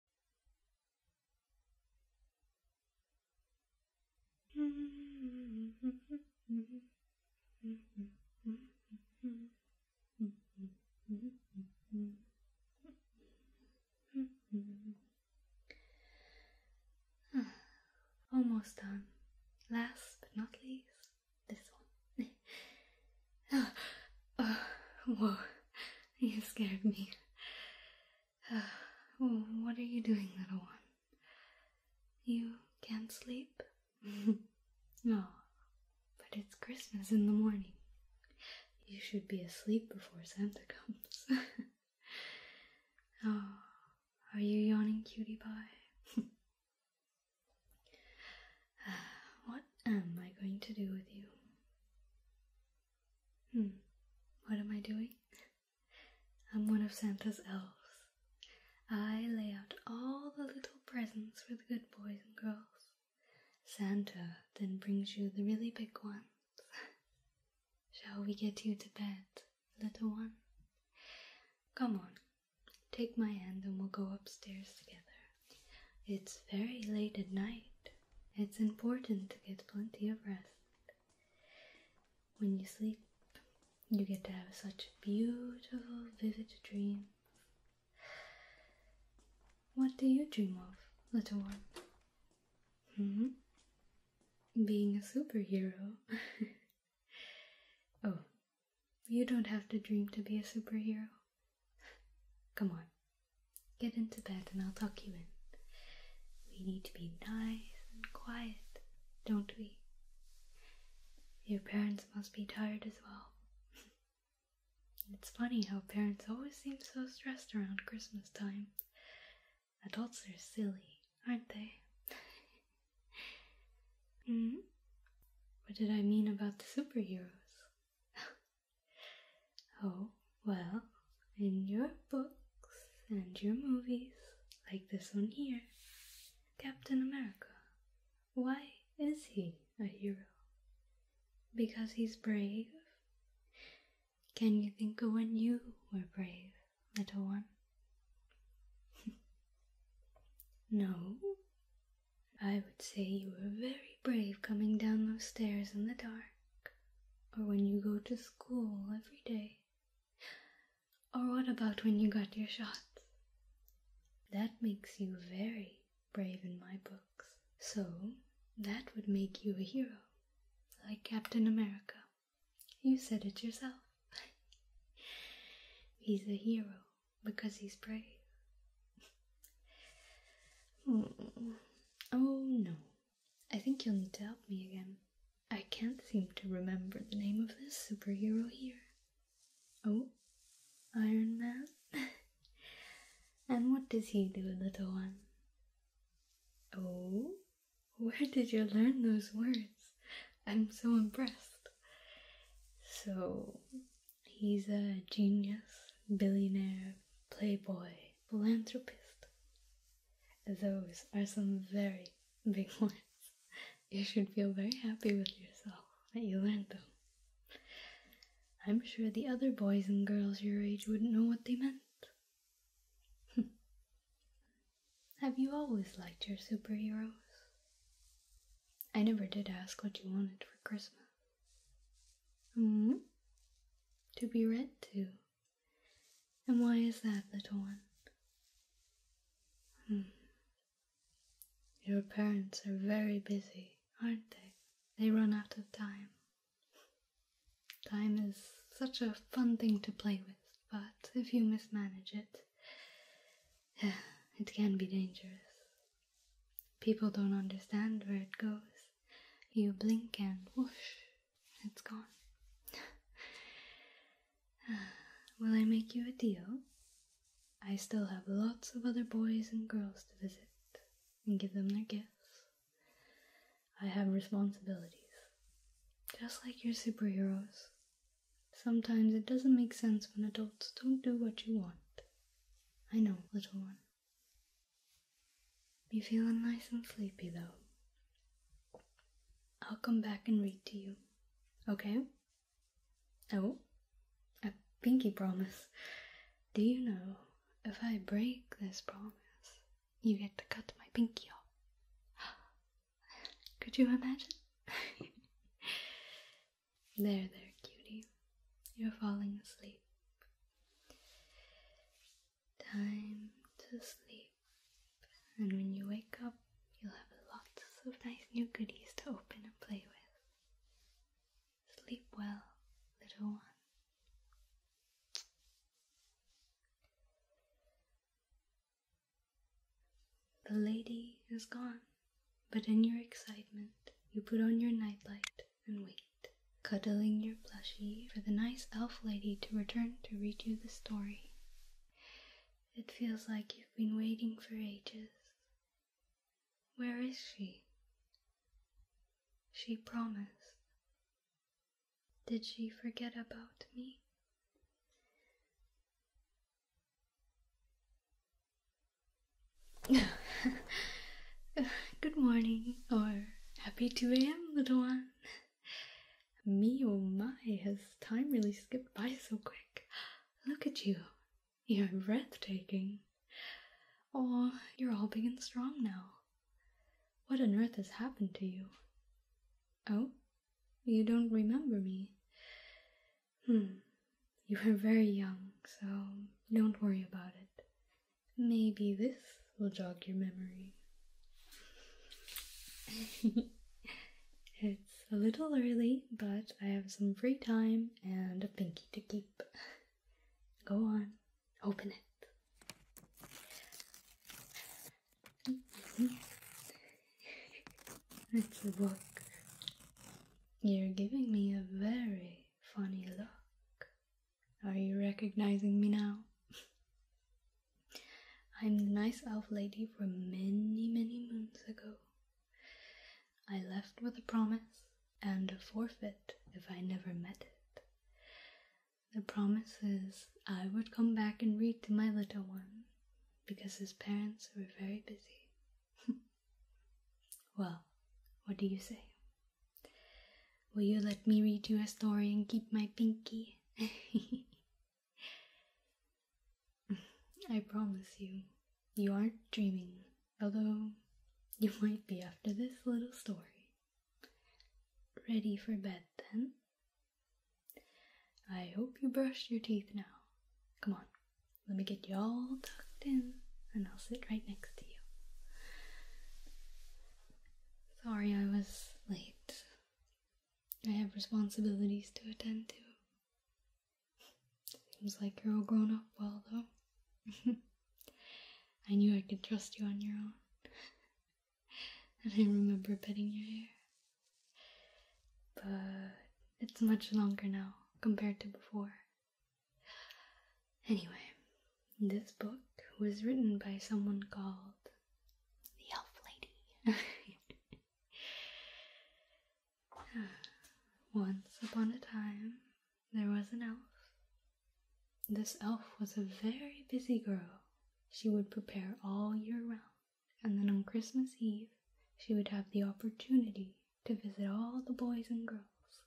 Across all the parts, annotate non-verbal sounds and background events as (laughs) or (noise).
(sighs) Almost done. Last but not least, this one. (laughs) Oh, whoa. (laughs) You scared me. (sighs) what are you doing, little one? You can't sleep? (laughs) no, but it's Christmas in the morning. You should be asleep before Santa comes. (laughs) oh, are you yawning, cutie pie? Uh, what am I going to do with you? Hmm, what am I doing? I'm one of Santa's elves. I lay out all the little presents for the good boys and girls. Santa then brings you the really big ones. (laughs) Shall we get you to bed, little one? Come on, take my hand and we'll go upstairs together. It's very late at night. It's important to get plenty of rest. When you sleep, you get to have such beautiful, vivid dreams. What do you dream of, little one? Hmm? Being a superhero. (laughs) oh, you don't have to dream to be a superhero. Come on, Get into bed and I'll tuck you in. We need to be nice and quiet, don't we? Your parents must be tired as well. (laughs) it's funny how parents always seem so stressed around Christmas time. Adults are silly, aren't they? (laughs) hmm? What did I mean about the superheroes? (laughs) Oh, well, in your books and your movies, like this one here, Captain America, why is he a hero? Because he's brave? Can you think of when you were brave, little one? (laughs) no. I would say you were very brave coming down those stairs in the dark or when you go to school every day? Or what about when you got your shots? That makes you very brave in my books. So, that would make you a hero, like Captain America. You said it yourself. (laughs) he's a hero because he's brave. (laughs) oh no, I think you'll need to help me again. I can't seem to remember the name of this superhero here. Oh, Iron Man? (laughs) and what does he do, little one? Oh, where did you learn those words? I'm so impressed. So, he's a genius, billionaire, playboy, philanthropist. Those are some very big words. (laughs) You should feel very happy with yourself that you learned them. I'm sure the other boys and girls your age wouldn't know what they meant. (laughs) Have you always liked your superheroes? I never did ask what you wanted for Christmas. -hmm. To be read to and why is that, little one? Hmm. Your parents are very busy, aren't they? They run out of time. Time is such a fun thing to play with, but if you mismanage it, (sighs) it can be dangerous. People don't understand where it goes. You blink and whoosh, it's gone. (sighs) Will I make you a deal? I still have lots of other boys and girls to visit and give them their gifts. I have responsibilities, just like your superheroes. Sometimes it doesn't make sense when adults don't do what you want. I know, little one. You feeling nice and sleepy though. I'll come back and read to you. Okay? Oh, a pinky promise. Do you know if I break this promise, you get to cut my pinky off? (gasps) Could you imagine? (laughs) there, there, cutie. You're falling asleep time to sleep. And when you wake up, you'll have lots of nice new goodies to open and play with. Sleep well, little one. The lady is gone, but in your excitement, you put on your nightlight and wait cuddling your plushie for the nice elf lady to return to read you the story. It feels like you've been waiting for ages. Where is she? She promised. Did she forget about me? (laughs) Good morning, or happy 2 a.m., little one. (laughs) Me oh my, has time really skipped by so quick? Look at you. You're breathtaking. Oh, you're all big and strong now. What on earth has happened to you? Oh, you don't remember me. Hmm, you were very young, so don't worry about it. Maybe this will jog your memory. (laughs) it's a little early, but I have some free time and a pinky to keep. Go on, open it. (laughs) it's a book. You're giving me a very funny look. Are you recognizing me now? (laughs) I'm the nice elf lady from many, many moons ago. I left with a promise and a forfeit if I never met it. The promise is I would come back and read to my little one because his parents were very busy. (laughs) well, what do you say? Will you let me read you a story and keep my pinky? (laughs) I promise you, you aren't dreaming, although you might be after this little story. Ready for bed then? I hope you brushed your teeth now. Come on, let me get you all tucked in, and I'll sit right next to you. Sorry I was late. I have responsibilities to attend to. Seems like you're all grown up well, though. (laughs) I knew I could trust you on your own. (laughs) and I remember petting your hair. But it's much longer now compared to before. Anyway, this book was written by someone called the Elf Lady. (laughs) Once upon a time, there was an elf. This elf was a very busy girl. She would prepare all year round, and then on Christmas Eve, she would have the opportunity to visit all the boys and girls.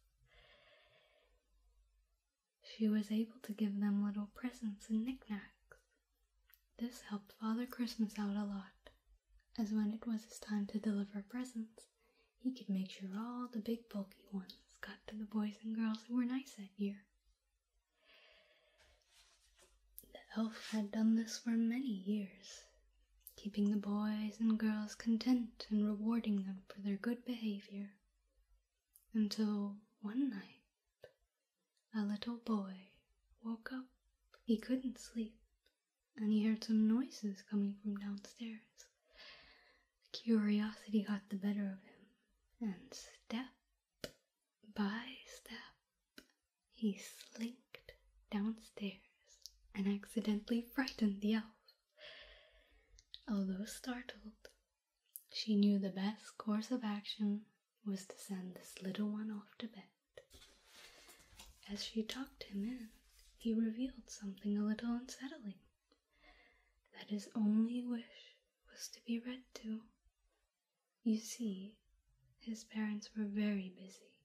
She was able to give them little presents and knickknacks. This helped Father Christmas out a lot, as when it was his time to deliver presents, he could make sure all the big bulky ones got to the boys and girls who were nice that year. The elf had done this for many years, keeping the boys and girls content and rewarding them for their good behavior. Until one night, a little boy woke up. He couldn't sleep, and he heard some noises coming from downstairs. Curiosity got the better of him, and step by step he slinked downstairs and accidentally frightened the elf. Although startled, she knew the best course of action was to send this little one off to bed. As she tucked him in, he revealed something a little unsettling that his only wish was to be read to. You see, his parents were very busy.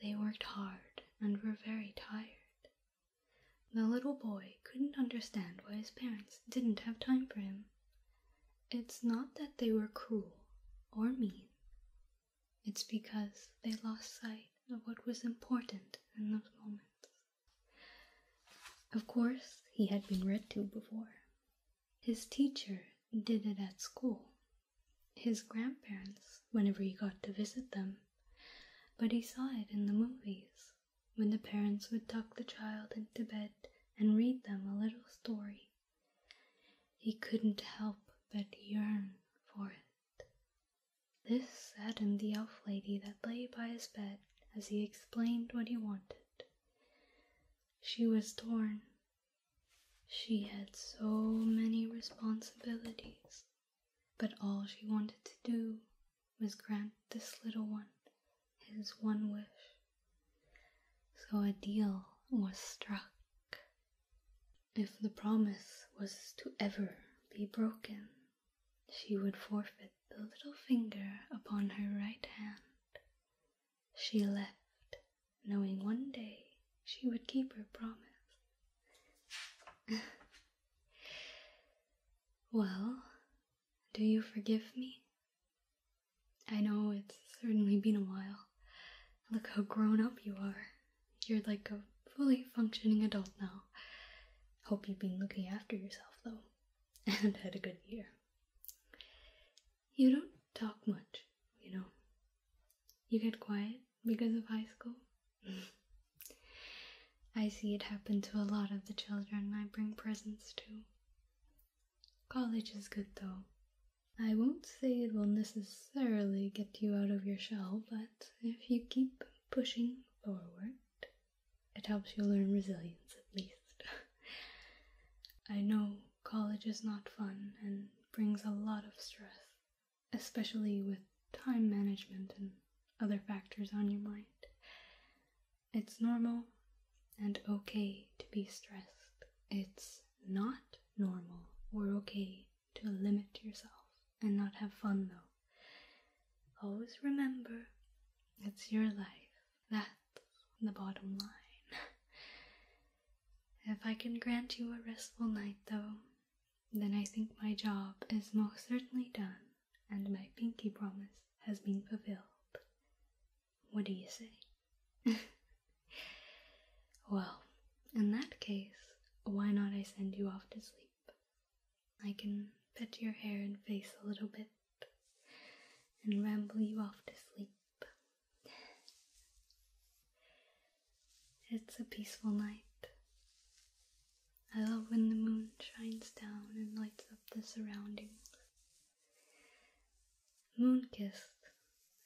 They worked hard and were very tired. The little boy couldn't understand why his parents didn't have time for him. It's not that they were cruel or mean, it's because they lost sight of what was important in those moments. Of course, he had been read to before. His teacher did it at school, his grandparents, whenever he got to visit them, but he saw it in the movies when the parents would tuck the child into bed and read them a little story. He couldn't help but yearn for it. This saddened the elf lady that lay by his bed as he explained what he wanted. She was torn. She had so many responsibilities, but all she wanted to do must grant this little one his one wish. So a deal was struck. If the promise was to ever be broken, she would forfeit the little finger upon her right hand. She left, knowing one day she would keep her promise. (laughs) well, do you forgive me? I know it's certainly been a while. Look how grown up you are. You're like a fully functioning adult now. Hope you've been looking after yourself, though, (laughs) and had a good year. You don't talk much, you know. You get quiet because of high school. (laughs) I see it happen to a lot of the children I bring presents to. College is good though. I won't say it will necessarily get you out of your shell, but if you keep pushing forward, it helps you learn resilience at least. (laughs) I know college is not fun and brings a lot of stress, especially with time management and other factors on your mind. It's normal and okay to be stressed. It's not normal or okay to limit yourself and not have fun though. Always remember it's your life. That's the bottom line. (laughs) if I can grant you a restful night though, then I think my job is most certainly done and my pinky promise has been fulfilled. What do you say? (laughs) well, in that case, why not I send you off to sleep? I can pet your hair and face a little bit and ramble you off to sleep. It's a peaceful night. I love when the moon shines down and lights up the surroundings. Moon kissed,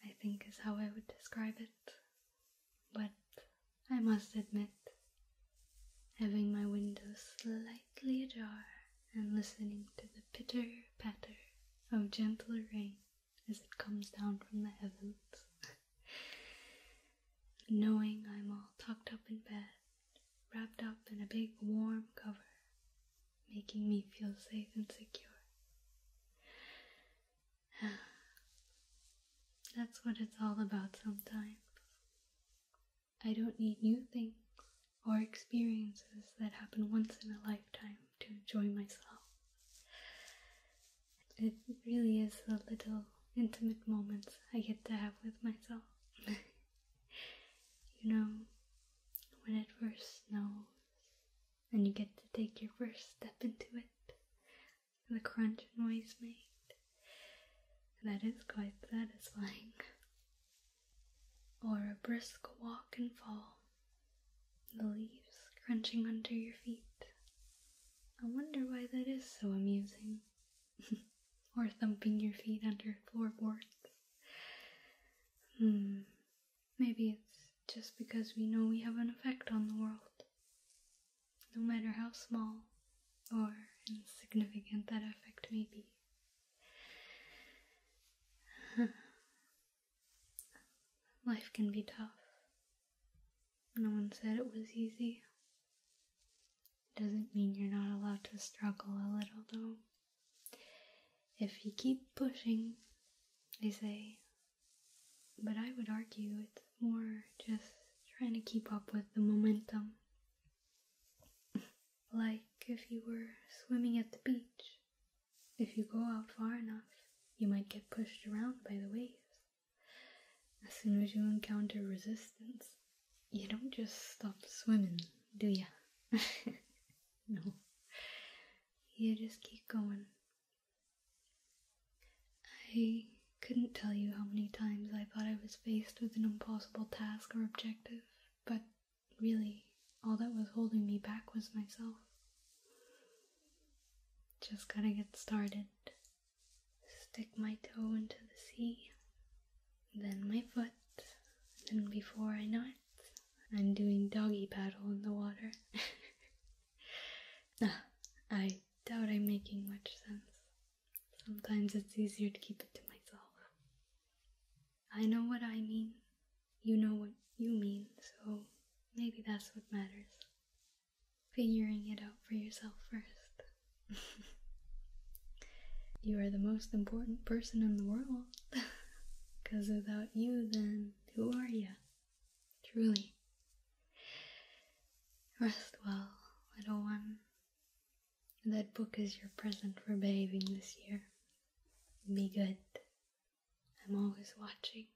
I think, is how I would describe it. But I must admit, having my window slightly ajar and listening to the pitter patter of gentle rain as it comes down from the heavens. (laughs) Knowing I'm all tucked up in bed wrapped up in a big warm cover, making me feel safe and secure. (sighs) That's what it's all about sometimes. I don't need new things or experiences that happen once in a lifetime to enjoy myself. It really is the little intimate moments I get to have with myself. (laughs) you know, when it first snows and you get to take your first step into it. The crunch noise made. That is quite satisfying. Or a brisk walk and fall. The leaves crunching under your feet. I wonder why that is so amusing. (laughs) or thumping your feet under floorboards. Hmm. Maybe it's just because we know we have an effect on the world. No matter how small or insignificant that effect may be. (laughs) Life can be tough. No one said it was easy. Doesn't mean you're not allowed to struggle a little, though. If you keep pushing, they say, but I would argue it's more just trying to keep up with the momentum. (laughs) like if you were swimming at the beach, if you go out far enough, you might get pushed around by the waves. As soon as you encounter resistance, you don't just stop swimming, do ya? (laughs) No. You just keep going. I couldn't tell you how many times I thought I was faced with an impossible task or objective, but really, all that was holding me back was myself. Just gotta get started. Stick my toe into the sea, then my foot, then before I know it, I'm doing doggy paddle in the water. (laughs) Ah, I doubt I'm making much sense. Sometimes it's easier to keep it to myself. I know what I mean, you know what you mean, so maybe that's what matters. Figuring it out for yourself first. (laughs) you are the most important person in the world. Because (laughs) without you, then who are you? Truly. Rest well, little one. That book is your present for behaving this year. Be good. I'm always watching.